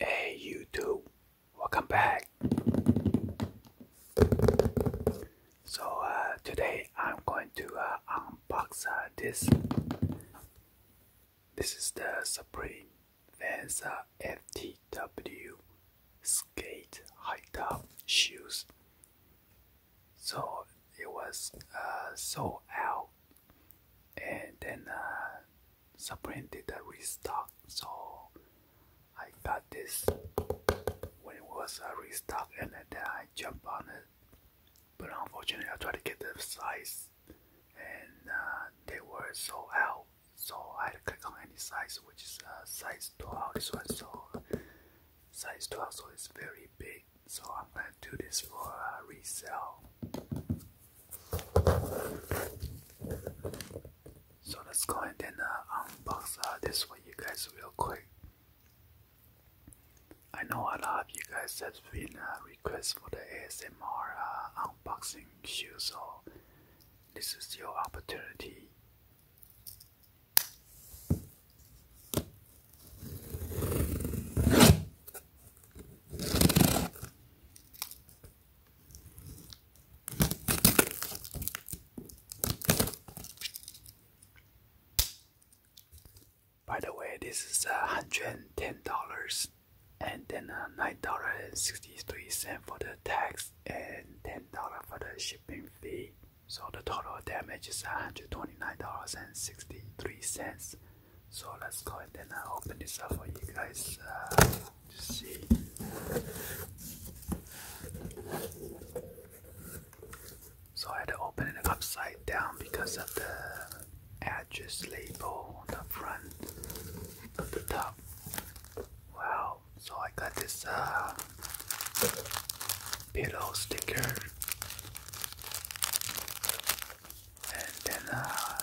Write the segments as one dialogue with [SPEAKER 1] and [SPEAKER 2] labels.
[SPEAKER 1] Hey YouTube, welcome back. So uh, today I'm going to uh, unbox uh, this. This is the Supreme Venza FTW skate, high top shoes. So it was uh, sold out, and then uh, Supreme did a restock. So I got this when it was a restock, and then I jumped on it. But unfortunately, I tried to get the size, and uh, they were sold out so I click on any size which is a size 12 this one so size 12 so it's very big so I'm gonna do this for uh, resale so let's go and then uh, unbox uh, this for you guys real quick I know a lot of you guys have been uh, requests for the ASMR uh, unboxing shoes. so this is your opportunity. By the way, this is a hundred and ten dollars and then uh, nine dollar and sixty three cent for the tax and ten dollar for the shipping fee. So the total damage is one hundred twenty nine dollars and sixty three cents. So let's go and then uh, I open this up for you guys uh, to see. So I had to open it upside down because of the address label on the front of the top. Wow, so I got this uh, pillow sticker and then uh,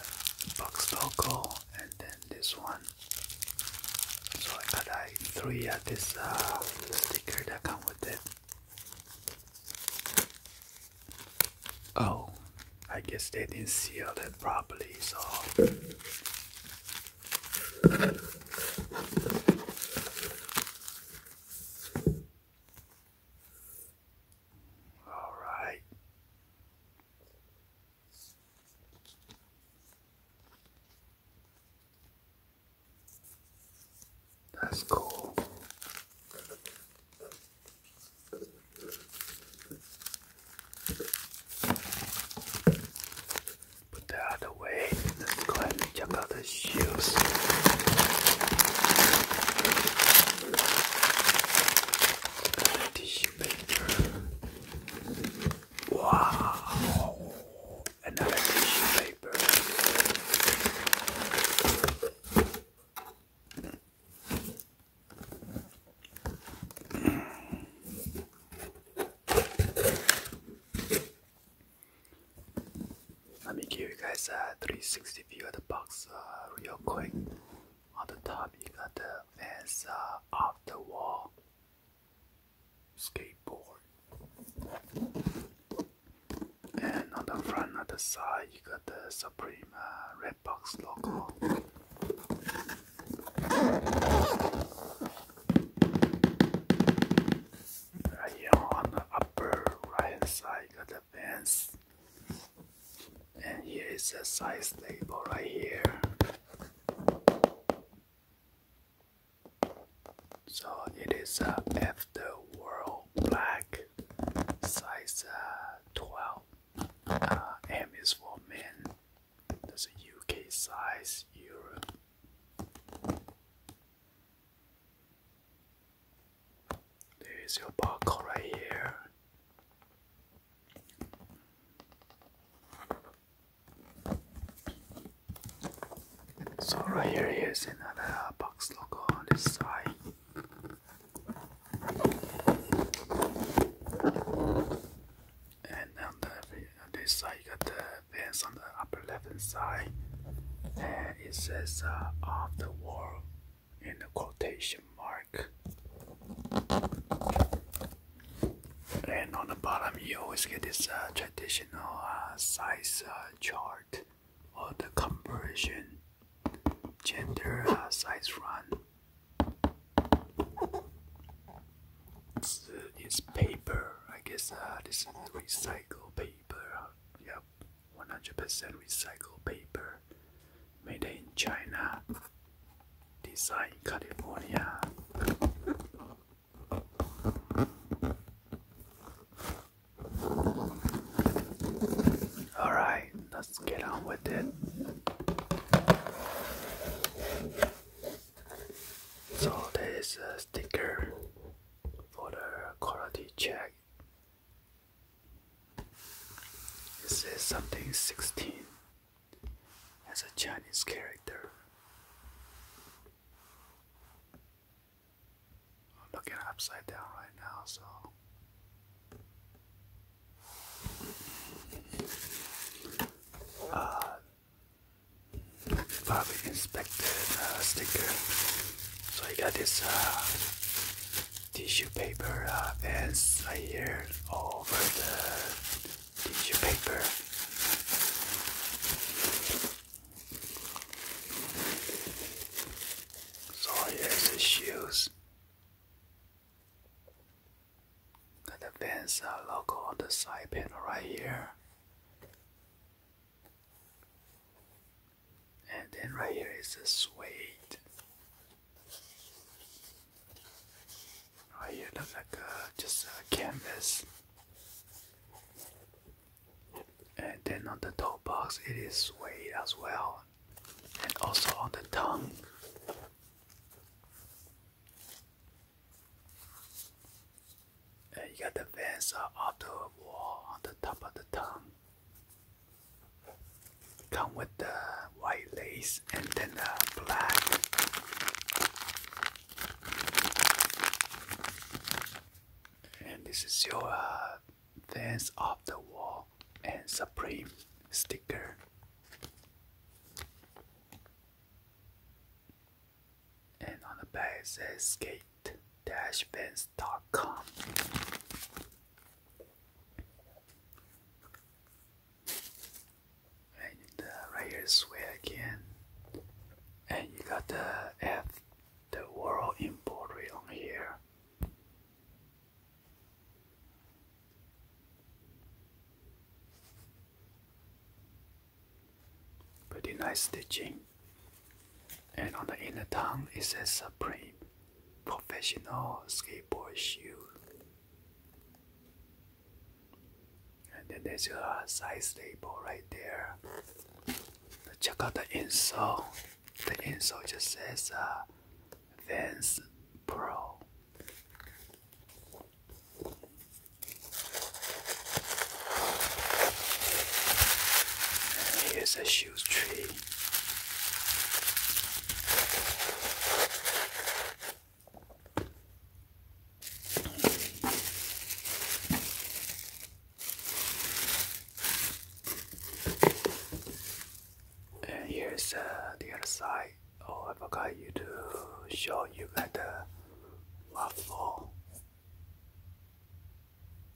[SPEAKER 1] box logo and then this one. So I got like uh, three of uh, this uh, sticker that come with it. Oh, I guess they didn't seal it properly, so. All right. That's cool. Put that out of the way. Let's go ahead and the shoes. Tissue paper. Wow. Another tissue paper. Let me give you guys a 360 view of the box uh, real quick. On the top, you got the fence uh, of the wall skateboard, and on the front, on the side, you got the Supreme uh, Redbox logo. Right here on the upper right side of the fence. And here is the size table right here. So it is a uh, after world black size uh, 12 uh, M is for men. There's a UK size Europe. There is your barcode right here. So right here is another box logo on the side. And on the this side, you got the pens on the upper left hand side, and it says uh, the wall" in the quotation mark. And on the bottom, you always get this uh, traditional uh, size uh, chart or the conversion gender uh, size run. This uh, paper. I guess uh, this is recycled paper. Yep, 100% recycled paper. Made in China. Design California. Alright, let's get on with it. So, there is a sticker for the quality check. This is something 16 as a Chinese character. I'm looking upside down right now, so. probably uh, inspected uh, sticker. So I got this uh, tissue paper uh, bands here over the tissue paper. So here's the shoes. Got the Vans are logo on the side panel right here. And then right here is the suede. Right here looks like uh, just a canvas. And then on the toe box it is suede as well and also on the tongue. And you got the veins uh, off the wall on the top of the tongue. Come with the white lace and then the black. And this is your uh, Fans of the Wall and Supreme sticker. And on the back says skate-fans.com. And uh, right here is again. And you got the F, the world embroidery on here. Pretty nice stitching. And on the inner tongue it says Supreme Professional Skateboard Shoe. And then there's your size label right there. check out the insole the insole just says uh, Vans Pro. here's a shoe tree. And here's uh, the other side. Oh, I forgot to show you got the waffle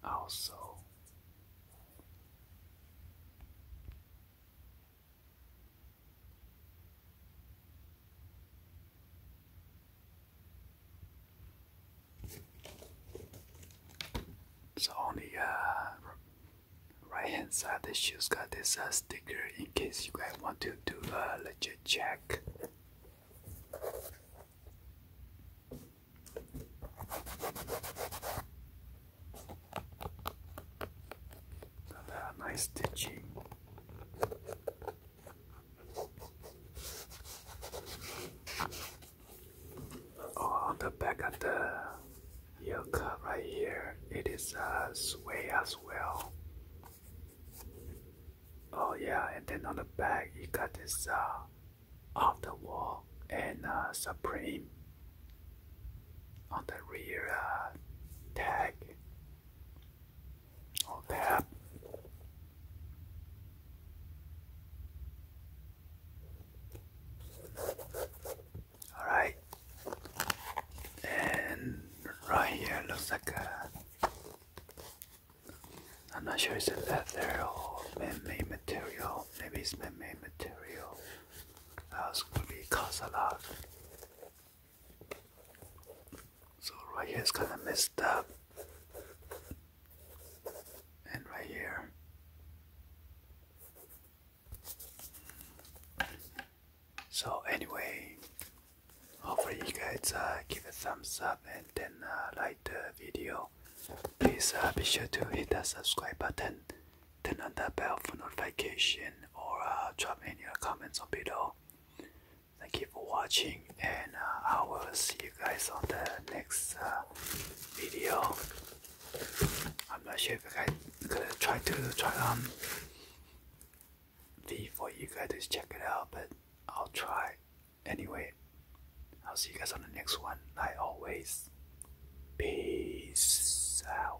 [SPEAKER 1] also. So on the uh, right hand side, the shoes got this uh, sticker in case you guys want to do a legit check. So, uh, nice stitching. Oh, on the back of the ear right here, it is a uh, sway as well. Oh yeah, and then on the back, you got this uh, off the wall and uh, supreme on the rear uh, tag or oh, tab. All right, and right here looks like a. I'm not sure it's a leather or man-made material. Maybe it's man-made material. That was gonna be cause a lot. So right here is kind of messed up. And right here. So anyway, hopefully you guys uh, give a thumbs up and then uh, like the video. Please uh, be sure to hit that subscribe button, turn on that bell for notification or drop any comments on below. Thank you for watching, and uh, I will see you guys on the next uh, video. I'm not sure if I could try to try on um, the for you guys to check it out, but I'll try anyway. I'll see you guys on the next one. Like always, peace out.